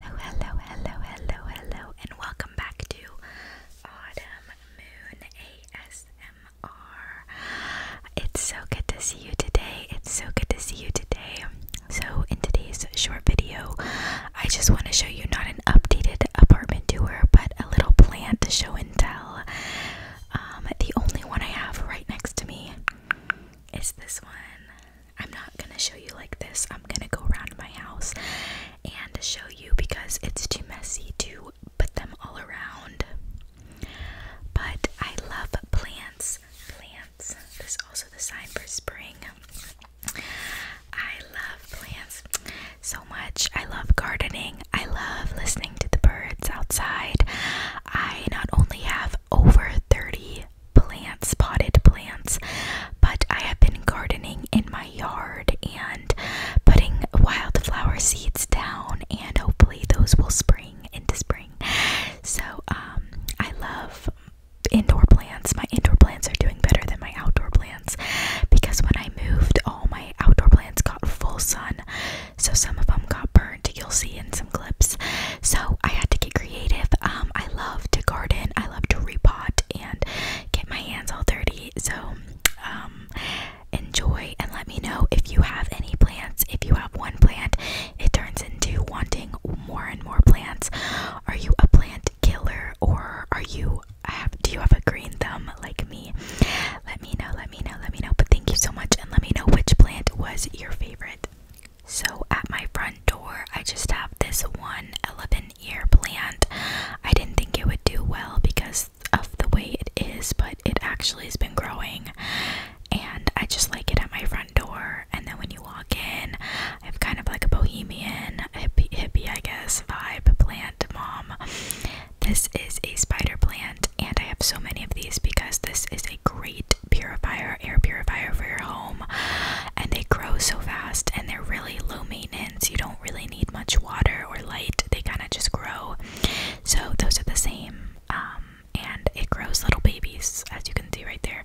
Hello, hello, hello, hello, hello, and welcome back to Autumn Moon ASMR. It's so good to see you today. It's so good to see you today. So, in today's short video, I just want to show you not an updated apartment tour, but a little plant to show and tell. Um, the only one I have right next to me is this one. I'm not gonna show you like this. I'm gonna go around my house and show you because it's too messy to put them all around. But I love plants. Plants. is also the sign for spring. I love plants so much. I love gardening. I love listening to the birds outside. I not only have over 30 plants, potted plants, but I have been gardening in my yard and putting wildflower seeds down, and hopefully those will spring into spring. So, um, I love indoor plants. My indoor plants are doing better than my outdoor plants because when I moved, all my outdoor plants got full sun, so some of them got burnt you'll see in some clips. So I had to get creative. Um, I love to garden, I love to repot and get my hands all dirty. So um, enjoy and let me know if you have any plants. If you have one plant, it turns into wanting more and more plants. Are you a plant killer or are you have do you have a green thumb like me? Let me know, let me know, let me know. But thank you so much and let me know which plant was your favorite. So at my front door, I just have this one elephant ear plant. I didn't think it would do well because of the way it is, but it actually has been growing. And I just like it at my front door. And then when you walk in, I am kind of like a bohemian, hippie, hippie I guess, vibe plant mom. This is a spider plant and I have so many of these because this is a great purifier, air purifier for your home, and they grow so fast and they're really low maintenance. You don't really need much water or light, they kind of just grow. So, those are the same, um, and it grows little babies, as you can see right there.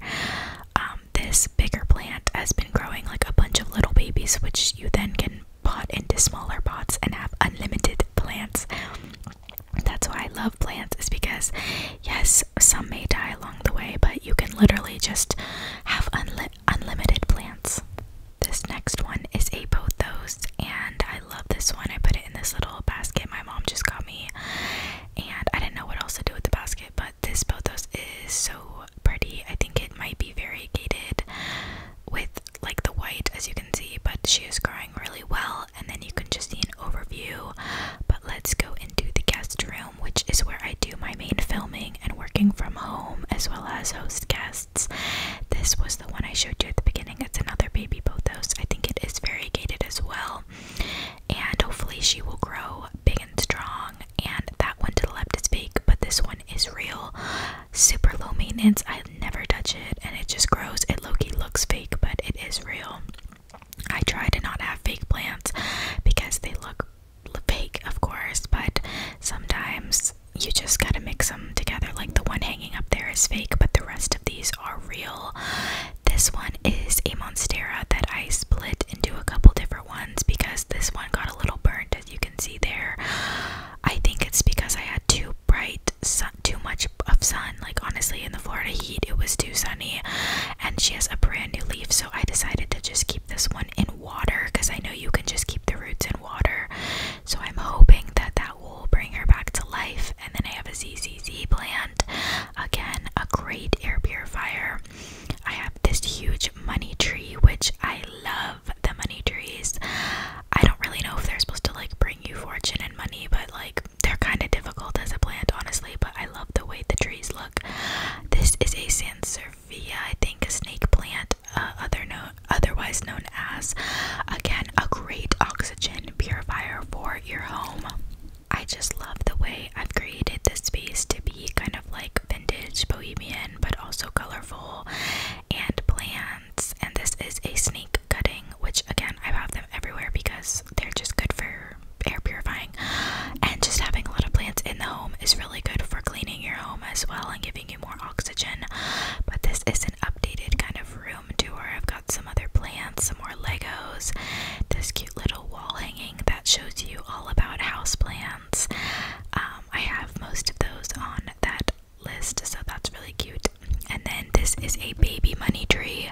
Um, this bigger plant has been growing like a bunch of little babies, which you then can pot into smaller pots and have unlimited plants. That's why I love plants, is because yes, some may die along the way, but you can literally just have unlimited plants. This next one is a pothos, and I love this one. I put it in this little basket my mom just got me, and I didn't know what else to do with the basket, but this pothos is so pretty. I think it might be variegated with like the white as you can see, but she is growing really well. And then you can just see an overview. But let's go into the guest room, which is where I do my main filming and working from home as well as host guests. This was the one I showed you at the beginning. It's another baby bothos. I think it is variegated as well. And hopefully she will grow big and strong. And that one to the left is fake, but this one is real. Super low maintenance. I never touch it and it just grows. It Loki looks fake, but it is real. I try to not have fake plants because they look fake, of course, but sometimes you just gotta mix them together. Like the one hanging up there is fake, but the rest of these are real. This one is a Monstera that I split into a couple different ones because this one got a little burnt, as you can see there. I think it's because I had too bright too much of sun. Like honestly, in the Florida heat, it was too sunny, and she has a brand new leaf, so I decided to just keep this one in water because I know you can just keep the roots in water. So I'm hoping that that will bring her back to life. And then I have a ZZZ plant, again a great air purifier. I have this huge money tree, which I love the money trees. I don't really know if they're supposed to like bring you fortune and money, but like they're kind of difficult as a plant, honestly. But I love the way the trees look. This is a Sansevieria, I think, a snake plant, uh, otherwise known as, again, a great oxygen purifier for your home. I just love the way I've created this space to be kind of like vintage bohemian but also colorful and plants. And this is a snake cutting, which again, I have them everywhere because they're just good for air purifying. And just having a lot of plants in the home is really good for cleaning your home as well and giving you more oxygen. But this is an updated kind of room tour. I've got some other plants, some more Legos, this cute little wall hanging that shows you all about house plants um, I have most of those on that list, so that's really cute. And then this is a baby money tree,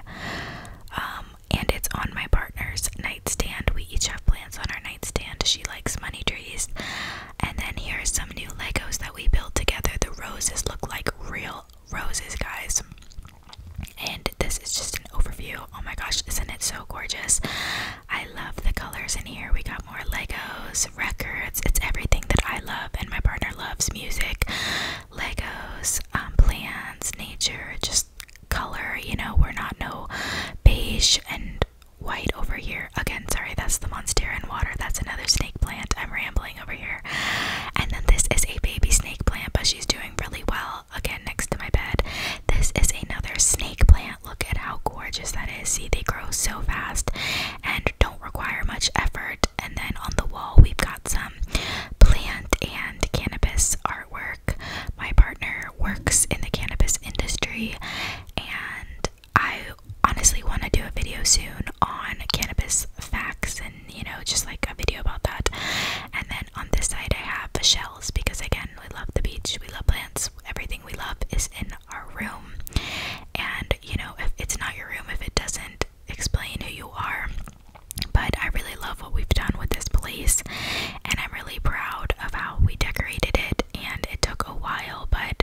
um, and it's on my partner's nightstand. We each have plants on our nightstand. She likes money trees. And then here are some new Legos that we built together. The roses look like real roses, guys. And this is just overview. Oh my gosh, isn't it so gorgeous? I love the colors in here. We got more Legos, records. It's everything that I love and my partner loves music, Legos, um, plants, nature, just color. You know, we're not no beige and white over here. Again, sorry, that's the monstera and water. That's another snake plant. I'm rambling over here. And then this is a baby snake plant, but she's doing really well again next to my bed. This is another snake plant. Look at how gorgeous that is. See, they grow so fast and don't require much effort. And then on the wall, we've got some plant and cannabis artwork. My partner works in the cannabis industry, and I honestly want to do a video soon on cannabis facts and you know, just like a video about that. And then on this side, I have the shells because again, we love the beach, we love plants, everything we love is in our room. And you know, if it's not your room, if it doesn't explain who you are, but I really love what we've done with this place, and I'm really proud of how we decorated it. And it took a while, but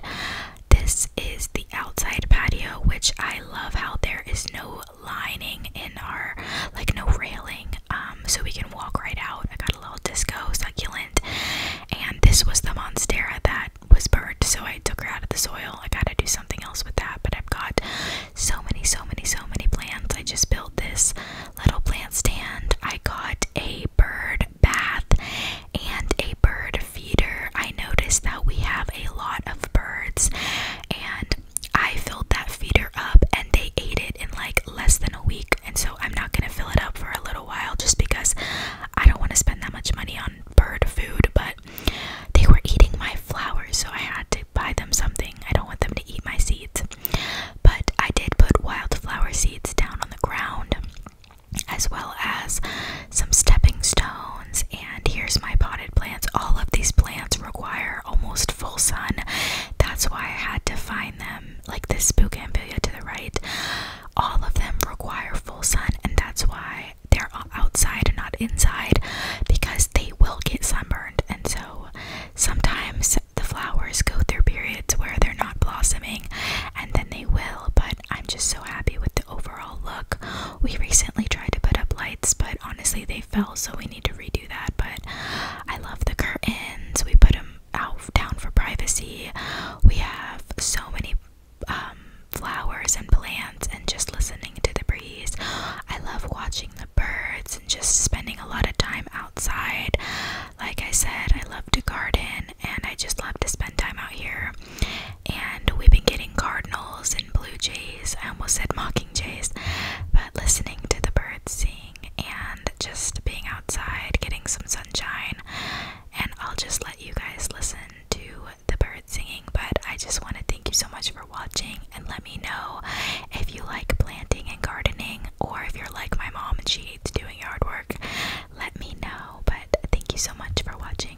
this is the outside patio, which I love how there is no lining in our like no railing um, so we can walk right out i got a little disco succulent and this was the monstera that was burnt so i took her out of the soil i gotta do something else with that but i've got so many so many so many plants i just built this little plant stand i got a bird bath and a bird feeder i noticed that we have a lot of birds and I filled that feeder up and they ate it in like less than a week. And so I'm not going to fill it up for a little while just because I don't want to spend that much money on bird food. But they were eating my flowers, so I had to buy them something. I don't want them to eat my seeds. But I did put wildflower seeds down on the ground as well as some stepping stones and here's my potted plants. All of these plants require almost full sun. That's why I had to find them, like this spook bougainvillea to the right. All of them require full sun, and that's why they're outside and not inside because they will get sunburned. And so sometimes the flowers go through periods where they're not blossoming and then they will, but I'm just so happy with the overall look. We recently tried to put up lights, but honestly, they fell, so we need to redo that. But I love the curtains. We put them out down for privacy. We have so many um, flowers and plants, and just listening to the breeze. I love watching the birds and just spending a lot of time outside. Like I said, I love to garden and I just love to spend time out here. And we've been getting cardinals and blue jays. I almost said mocking jays, but listening to the birds sing and just being outside, getting some sunshine. And I'll just let you guys listen to the birds singing. But I just want to thank you so much for watching and let me know if you like planting and gardening or if you're like my mom and she hates doing yard work. Let me know. But thank you so much for watching.